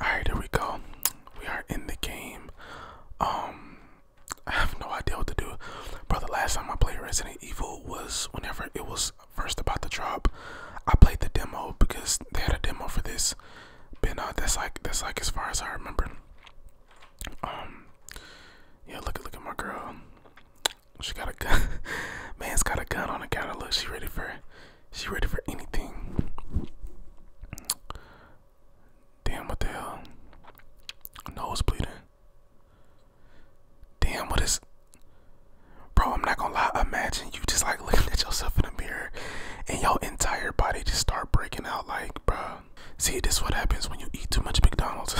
Alright, here we go. We are in the game. Um I have no idea what to do. Bro, the last time I played Resident Evil was whenever it was first about to drop. I played the demo because they had a demo for this. But uh, that's like that's like as far as I remember. Um Yeah, look at look at my girl. She got a gun. Man's got a gun on the gun. Look, she ready for it. She ready for anything. Damn, what the hell? Nose bleeding. Damn, what is. Bro, I'm not gonna lie. Imagine you just like looking at yourself in the mirror and your entire body just start breaking out. Like, bro. See, this what happens when you eat too much McDonald's.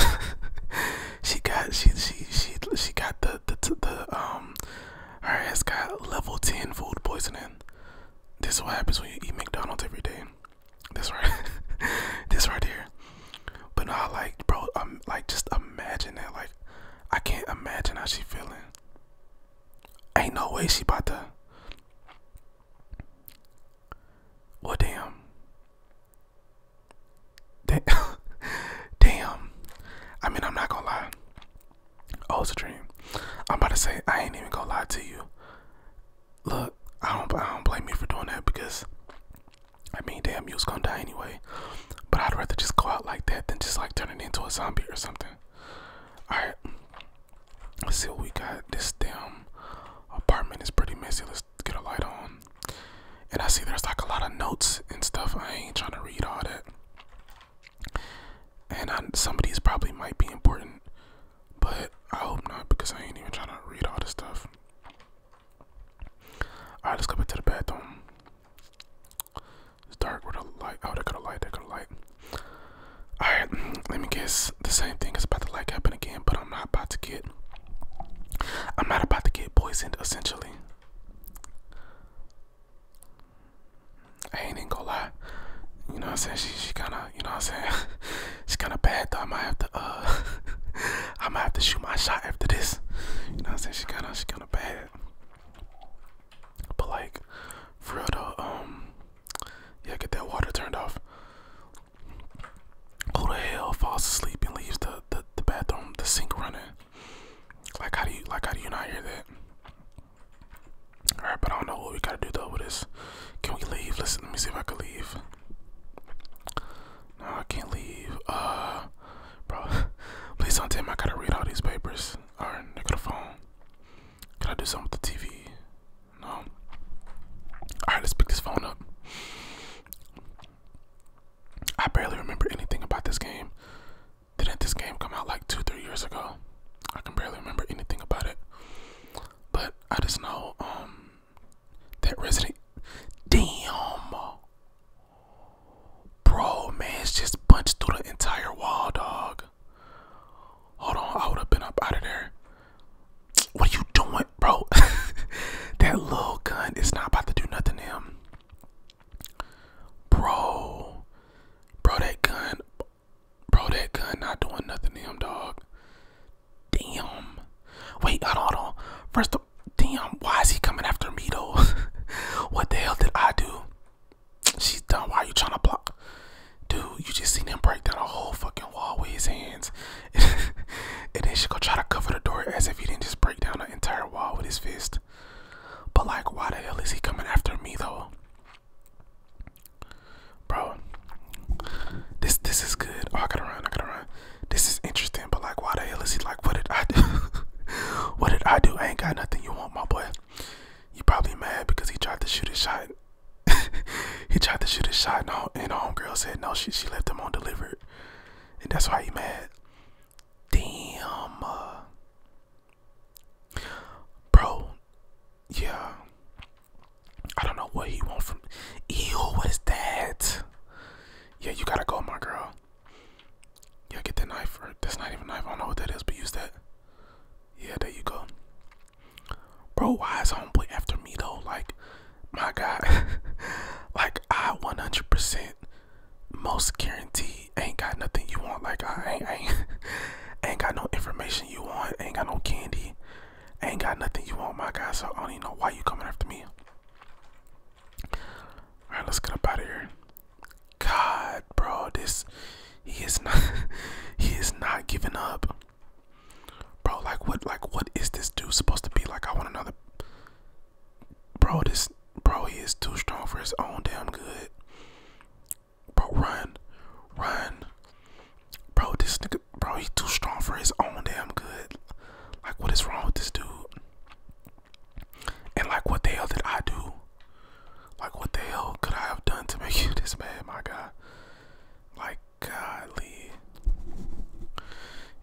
she got, she, she, she, she got the, the, the, um, her ass got level 10 food poisoning. This is what happens when you eat McDonald's every day. This right, this right here. But no, like, bro, I'm like, just imagine it. Like, I can't imagine how she feeling. Ain't no way she about to. Well, Damn. damn. I mean, I'm not gonna lie. Oh, it's a dream. I'm about to say I ain't even gonna lie to you. Look, I don't I don't blame you for doing that because I mean damn you was gonna die anyway. But I'd rather just go out like that than just like turn it into a zombie or something. Alright. Let's see what we got. This damn apartment is pretty messy. Let's get a light on. And I see there's like a lot of notes and stuff. I ain't trying to read all that. And I, some of these probably might be important, but I hope not because I ain't even trying to read all this stuff. Alright, let's go back to the bathroom. It's dark with a light. Oh, they got a light. They got a light. Alright, let me guess. The same thing is about to like happen again, but I'm not about to get. I'm not about to get poisoned, essentially. I ain't even gonna lie. You know what I'm saying? She she kinda you know what I'm saying? she kinda bad I might have to uh I might have to shoot my shot after this. You know what I'm saying? She kinda she kinda bad. But like for real though, um yeah, get that water turned off. Who the hell falls asleep and leaves the, the, the bathroom, the sink running? Like how do you like how do you not hear that? Alright, but I don't know what we gotta do though with this. Can we leave? Listen, let me see if I can leave. No, I can't leave. Uh bro, please don't tell me I gotta read all these papers. Alright, look at the phone. Can I do something with the TV? No. Alright, let's pick this phone up. I barely remember anything about this game. Didn't this game come out like two, three years ago? I can barely remember anything about it. But I just know um, that Resident Damn Bro it's just punched through the entire wall dog. Hold on, I would have been up out of there. What are you doing, bro? that little gun is not about to do nothing to him. Bro. Bro, that gun. Bro, that gun not doing nothing to him, dog. Damn. Wait, I don't know. First of damn, why is he coming after me though? what the hell did I do? She's done. Why are you trying to block? Dude, you just seen him break down a whole fucking wall with his hands. and then she gonna try to cover the door as if he didn't just break down an entire wall with his fist. But like, why the hell is he coming after me though? Bro, this this is good. Oh, I gotta run. I gotta run. This is interesting. But like, why the hell is he like? What did I do? what did I do? I ain't got nothing you want, my boy. You probably mad because he tried to shoot his shot. he tried to shoot hhis shot, and, the homegirl said no. She she left him on delivered, and that's why he mad. Damn. Uh, bro, yeah. I don't know what he want from. Ew, what is that? Yeah, you gotta go, my girl. Yeah, get that knife. Or that's not even a knife. I don't know what that is, but use that. Yeah, there you go. Bro, why is homeboy after me though? Like, my God. like, I 100% most guaranteed ain't got nothing you want. Like I ain't, ain't, ain't got no information you want. Ain't got no candy. Ain't got nothing you want, my guy. So I don't even know why you coming after me. All right, let's get up out of here. God, bro, this he is not he is not giving up. Bro, like what like what is this dude supposed to be? Like I want another Bro, this bro, he is too strong for his own damn good. Bro, run. Run. Bro, this nigga bro, he's too strong for his own damn good. Like what is wrong with this dude? And like what the hell did I do? Like what the hell could I have done to make you this mad, my guy? Like godly.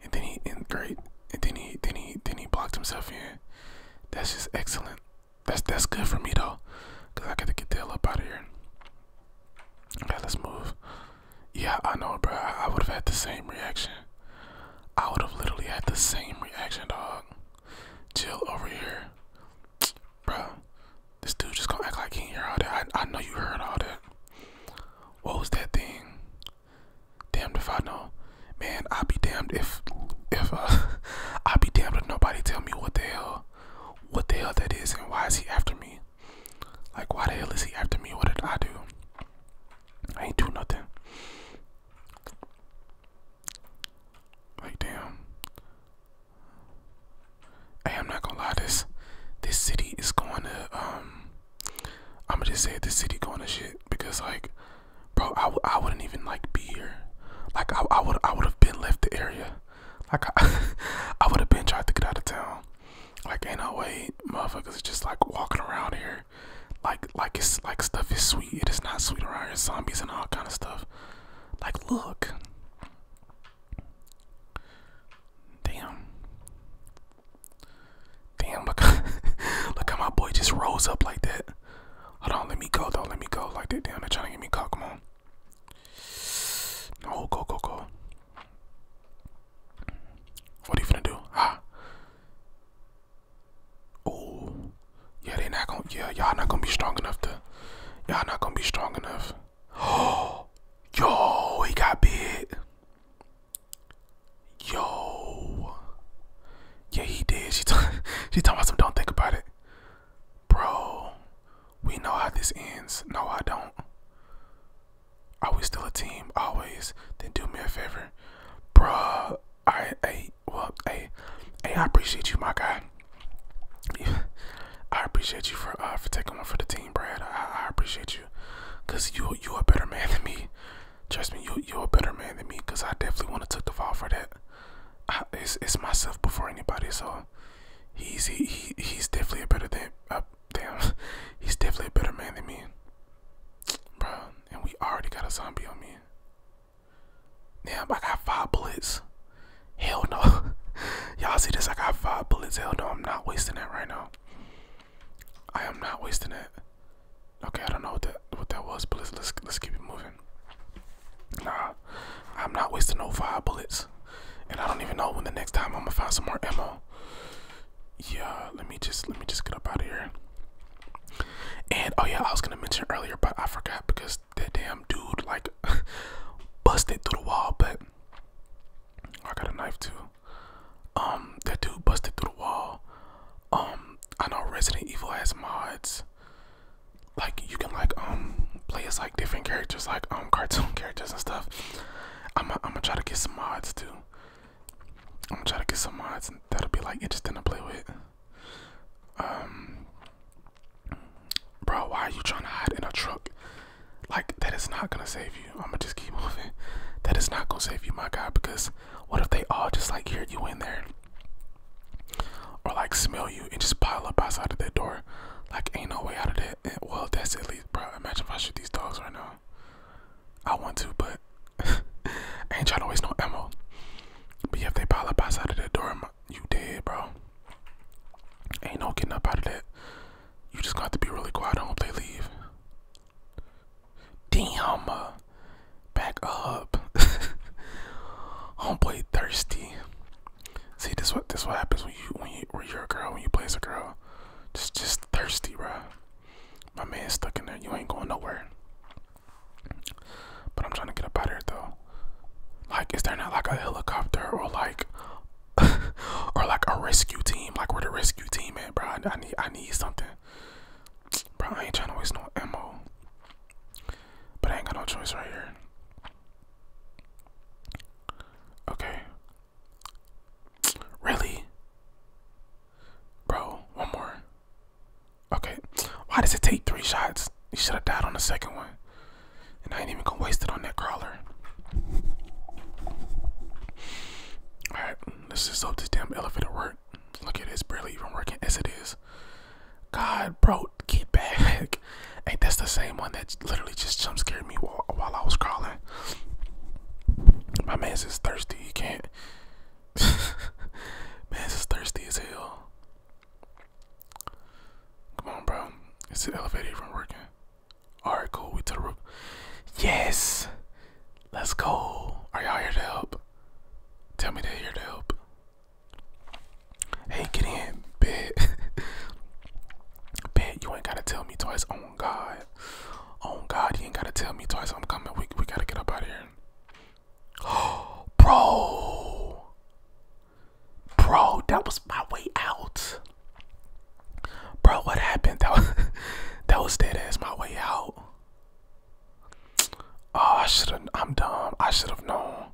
And then he in great and then he then he then he blocked himself in. That's just excellent. That's that's good for me though, cause I gotta get the hell up out of here. Okay, let's move. Yeah, I know, bro. I, would have had the same reaction. I would have literally had the same reaction, dog. Chill over here, bro. This dude just gonna act like he didn't hear all that. I I know you heard all that. What was that thing? Damned if I know. Man, i would be damned if if uh, i would be damned if nobody tell me what the hell what the hell that is and why is he after me? Like why the hell is he after me? What did I do? I ain't do nothing. Like damn. Hey, I'm not gonna lie, this this city is going to um I'ma just say this city going to shit because like bro. I, I wouldn't even like be here. Like I I would I would have been left the area. Like I, I would have been trying to get out of town. Like ain't no way, motherfuckers just like walking around here. Like like it's like stuff is sweet. It is not sweet around here. Zombies and all kind of stuff. Like look. Damn. Damn, look, look how my boy just rose up like that. don't let me go, though. Let me go like that. Damn, they're trying to get me caught. Come on. No, go, go, go. What are you gonna do? Ah. Oh. Yeah, they're not gonna, yeah, y'all not gonna be strong enough to, y'all not gonna be strong enough. Oh. Yo, he got big. Yo. Yeah, he did. She t she talking about some don't think about it. Bro, we know how this ends. No, I don't. Are we still a team? Always. Then do me a favor. Bruh, I hey, well, hey, hey, I appreciate you, my guy. I appreciate you for uh, for taking one for the team, Brad. I, I appreciate you. Cause you you a better man than me. Trust me, you you're a better man than me, cause I definitely want to take the fall for that. it's it's myself before anybody, so he's he, he's definitely a better than uh, damn, he's definitely a better man than me, bro. And we already got a zombie on me. Damn, I got five bullets. Hell no. Y'all see this? I got five bullets. Hell no, I'm not wasting that right now. I am not wasting it. Okay, I don't know what that what that was, but let's let's let's keep it moving. Nah, I'm not wasting no five bullets, and I don't even know when the next time I'm gonna find some more ammo. Yeah, let me just let me just get up out of here. And oh yeah, I was gonna mention earlier, but I forgot because that damn dude like busted through the wall. But I got a knife too. Um, that dude busted through the wall. Um, I know Resident Evil has mods. Like you can like um play as like different characters, like um cartoon characters and stuff. I'm gonna try to get some mods too. I'm gonna try to get some mods and that'll be like interesting to play with. Um, bro, why are you trying to hide in a truck? Like that is not gonna save you. I'm gonna just keep moving. That is not gonna save you, my guy. Because what if they all just like hear you in there, or like smell you and just pile up outside of that door? Like ain't no way out of that. well, that's at least, bro. Imagine if I shoot these dogs right now. I want to, but ain't trying to waste no ammo. But yeah, if they pile up outside of that door, you dead, bro. Ain't no getting up out of that. You just got to be really quiet. I hope they leave. Damn. Uh, back up. Homeboy thirsty. See this what this what happens when you when you when you're a girl, when you play as a girl. Just just thirsty, bro. My man stuck in there. You ain't going nowhere. But I'm trying to get up out of here though. Like, is there not like a helicopter or like or like a rescue team? Like we're the rescue team man, bro? I need I need something. Bro, I ain't trying to waste no ammo. But I ain't got no choice right here. Okay. Really? Bro, one more. Okay. Why does it take three shots? You should have died on the second one. And I ain't even gonna waste it on that crawler. Alright. This is so this damn elevator work. Look at it, it's barely even working as it is. God, bro, get back. hey, that's the same one that literally just jump scared me while, while I was crawling. My man is thirsty. He can't. Man is thirsty as hell. Come on, bro. Is the elevator even working? All right, cool. We to the roof. Yes. Let's go. Are y'all here to help? Tell me they're here to help. Hey, get in, bitch. Bitch, you ain't gotta tell me twice. On oh, God, on oh, God, you ain't gotta tell me twice. I'm coming. We we gotta get up out of here. bro, bro, that was my way out. Bro, what happened? That was, that was dead ass my way out. Oh, I should have. I'm dumb. I should have known.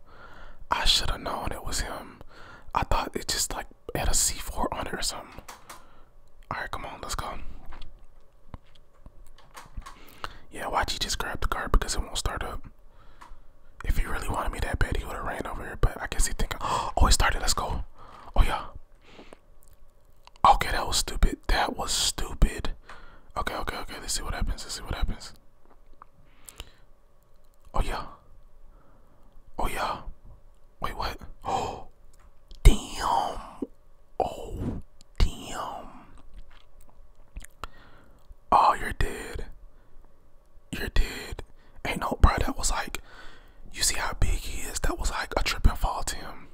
I should have known it was him. I thought it just like had a C4 on it or something. All right, come on, let's go. Yeah, why'd you just grab the car because it won't start up? If he really wanted me that bad, he would have ran over here. But I guess he think oh, it started. Let's go. Oh yeah. Okay, that was stupid. That was stupid. Okay, okay, okay. Let's see what happens. Let's see what happens. Oh yeah. Oh yeah. Wait, what? Oh, damn. Oh, damn. Oh, you're dead. You're dead. Ain't no, bro. That was like, you see how big he is? That was like a tripping fall to him.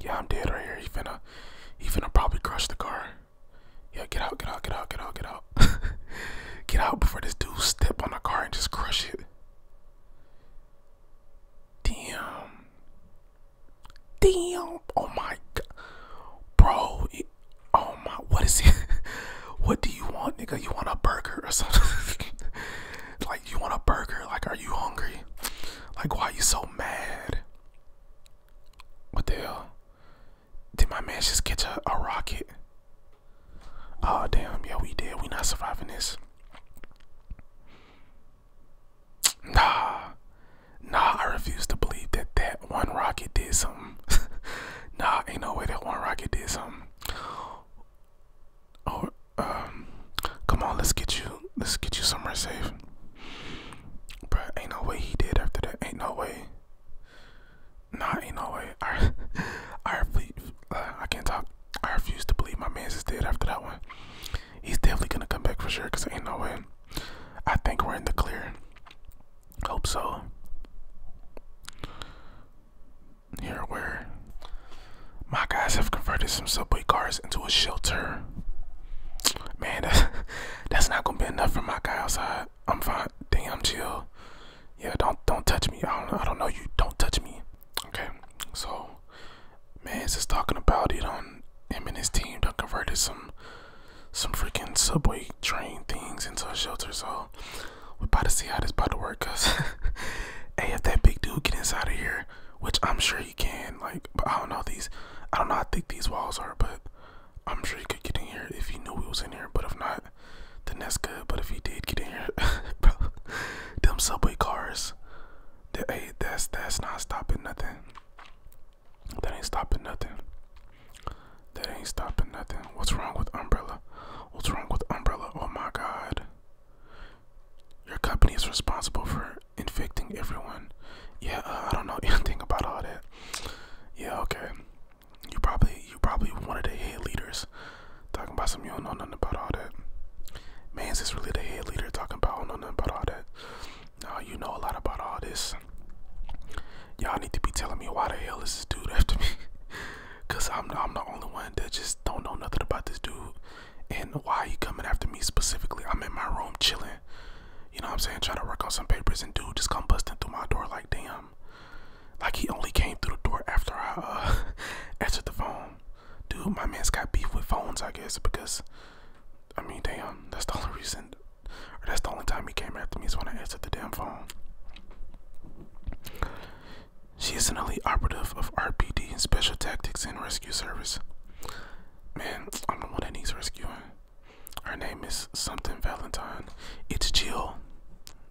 Yeah, I'm dead right here. He's gonna, he's gonna probably crush the car. Yeah, get out, get out, get out, get out, get out. get out before this dude step on the car and just crush it. Damn. Damn. Oh my god. Bro. oh my. What is it? what do you want, nigga? You want a burger or something? you want a burger like are you hungry like why are you so mad what the hell did my man just catch a, a rocket oh damn yeah we did we not surviving this nah nah i refuse to believe that that one rocket did something nah ain't no way that one rocket did something Oh, um, come on, let's get you, let's get you somewhere safe. Bruh, ain't no way he did after that. Ain't no way. Nah, ain't no way. I, I refuse. Uh, I can't talk. I refuse to believe my man's is dead after that one. He's definitely gonna come back for sure. Cause ain't no way. I think we're in the clear. Hope so here where my guys have converted some subway cars into a shelter. Man, that's, not gonna be enough for my guy outside. I'm fine. Damn, chill. Yeah, don't don't touch me. I don't I don't know you. Don't touch me. Okay, so man's just talking about it on him and his team done converted some some freaking subway train things into a shelter. So we're about to see how this about to work, cause hey, if that big dude get inside of here, which I'm sure he can, like, I don't know these, I don't know how thick these walls are, but I'm sure he could get in here if he knew we was in here. But if not, then that's good. But if he did get in here, bro, them subway cars, that hey, that's that's not stopping nothing. That ain't stopping nothing. That ain't stopping nothing. What's wrong with umbrella? What's wrong with umbrella? Oh my god. Your company is responsible for infecting everyone. Yeah, uh, I don't know anything about all that. Yeah, okay. You probably you probably one of the head leaders talking about some you don't know nothing about all that. Man's is really the head leader talking about I don't know nothing about all that. Now you know a lot about all this. Y'all need to be telling me why the hell is this dude after me? Cause I'm I'm the only one that just don't know nothing about this dude and why he coming after me specifically. I'm in my room chilling. You know what I'm saying? Trying to work on some papers and dude just come busting through my door like damn. Like he only came through the door after I uh answered the phone. Dude, my man's got beef with phones, I guess, because I mean damn, that's the only reason that's the only time he came after me is when I answered the damn phone. She is an elite operative of RPD and Special Tactics and Rescue Service. Man, I'm the one that needs rescuing. Her name is something Valentine. It's Jill.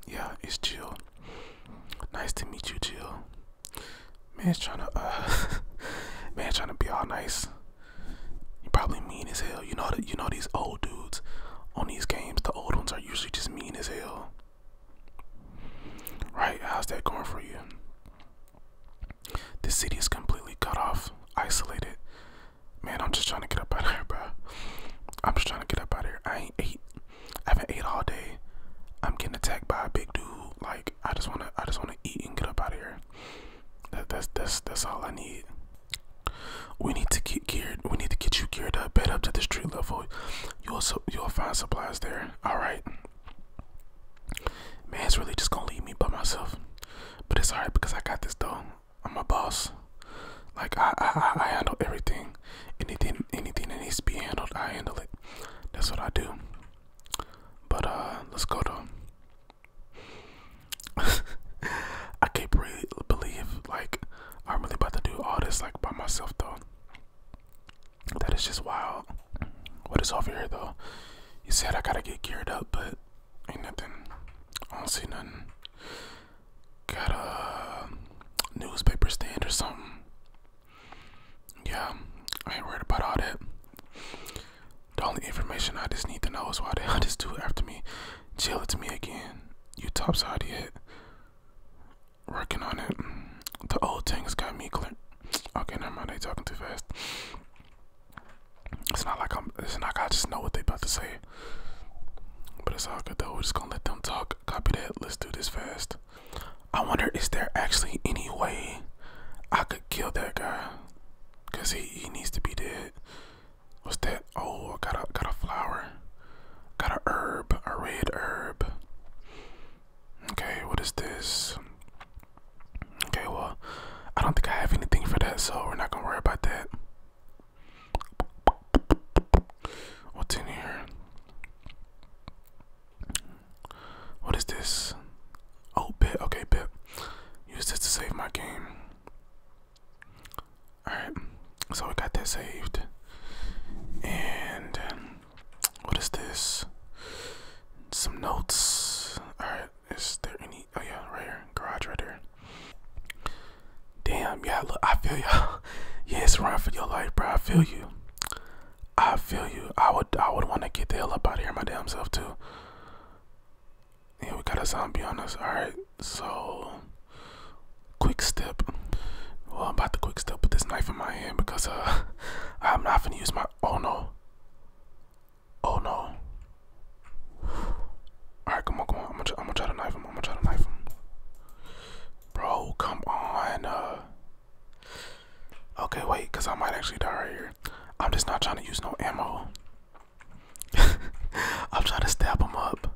Yeah, it's Jill. Nice to meet you, Jill. Man's trying to, uh, man, trying to be all nice. You probably mean as hell. You know that you know these old dudes on these games. The old ones are usually just mean as hell. Right, how's that going for you? This city is completely cut off, isolated. Man, I'm just trying to get up out of here, bro. I'm just trying to get up out of here. I ain't ate. I haven't ate all day. I'm getting attacked by a big dude. Like I just wanna, I just wanna eat and get up out of here. that's that's that's all I need. We need to get geared. We need to get you geared up, bed up to the street level. You'll you'll find supplies there. All right. Man, it's really just gonna leave me by myself. But it's alright because I got this though. I'm a boss. Like I, I, I handle everything. Anything, anything that needs to be handled, I handle it. That's what I do. But uh, let's go to. I can't really believe like I'm really about to do all this like by myself though. That is just wild. What is over here though? You said I gotta get geared up, but ain't nothing. I don't see nothing. Got a newspaper stand or something. Yeah, I ain't worried about all that. The only information I just need to know is why they hell this dude after me. Chill it to me again. You topside yet? Working on it. The old things got me clear. Okay, never mind. They talking too fast. It's not like I'm. It's not. Like I just know what they about to say. But it's all good though. We're just gonna let them talk. Copy that. Let's do this fast. I wonder is there actually any way I could kill that guy? Cause he he needs to be dead. What's that? Oh, I got a got a flower. Got a herb, a red herb. Okay, what is this? Okay, well, I don't think I have anything for that, so we're not gonna worry about that. What's in here? What is this? Oh, bit. Okay, bit. Used this to save my game. Alright, so we got that saved. And um, what is this? Some notes. Alright, is there any? Oh, yeah, right here. Garage right there. Damn, yeah, look, I feel y'all. yeah, it's run for your life, bro. I feel you. I feel you. I would I would want to get the hell up out of here my damn self too. Yeah, we got a zombie on us. Alright, so quick step. Well, I'm about to quick step with this knife in my hand because uh, I'm not gonna use my. Oh no. Oh no. Alright, come on, come on. I'm gonna, try, I'm gonna try to knife him. I'm gonna try to knife him. Bro, come on. Uh, okay, wait, because I might actually die right here. I'm just not trying to use no ammo. I'm trying to stab him up.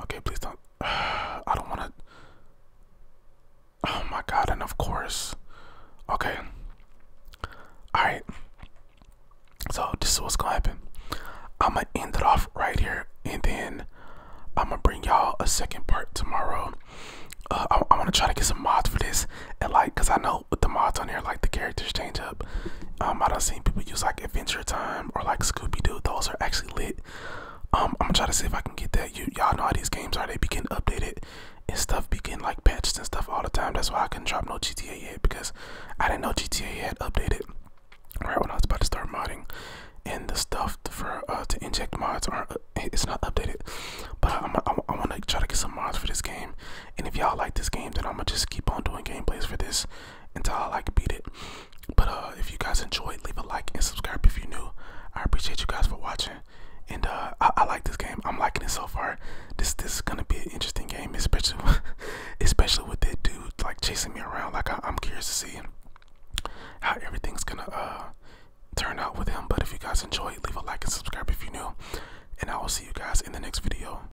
Okay, please don't. I don't want to. Oh my god, and of course. Okay. Alright. So, this is what's gonna happen. I'm gonna end it off right here, and then I'm gonna bring y'all a second part tomorrow. Uh, I, I want to try to get some mods for this, and like, cause I know with the mods on here, like the characters change up. Um, I don't seen people use like. Adventure Time or like Scooby Doo, those are actually lit. Um, I'm gonna try to see if I can get that. You y'all know how these games are; they be getting updated and stuff, be getting like patched and stuff all the time. That's why I couldn't drop no GTA yet because I didn't know GTA had updated right when I was about to start modding. And the stuff for uh, to inject mods are uh, it's not updated, but I'm, I want to try to get some mods for this game. And if y'all like this game, then I'm gonna just keep on doing gameplays for this until I like beat it. But uh, if you guys enjoyed, leave a like and subscribe if you're new. I appreciate you guys for watching. And uh, I, like this game. I'm liking it so far. This this is gonna be an interesting game, especially especially with that dude like chasing me around. Like I, I'm curious to see how everything's gonna uh turn out with him. But if you guys enjoyed, leave a like and subscribe if you're new. And I will see you guys in the next video.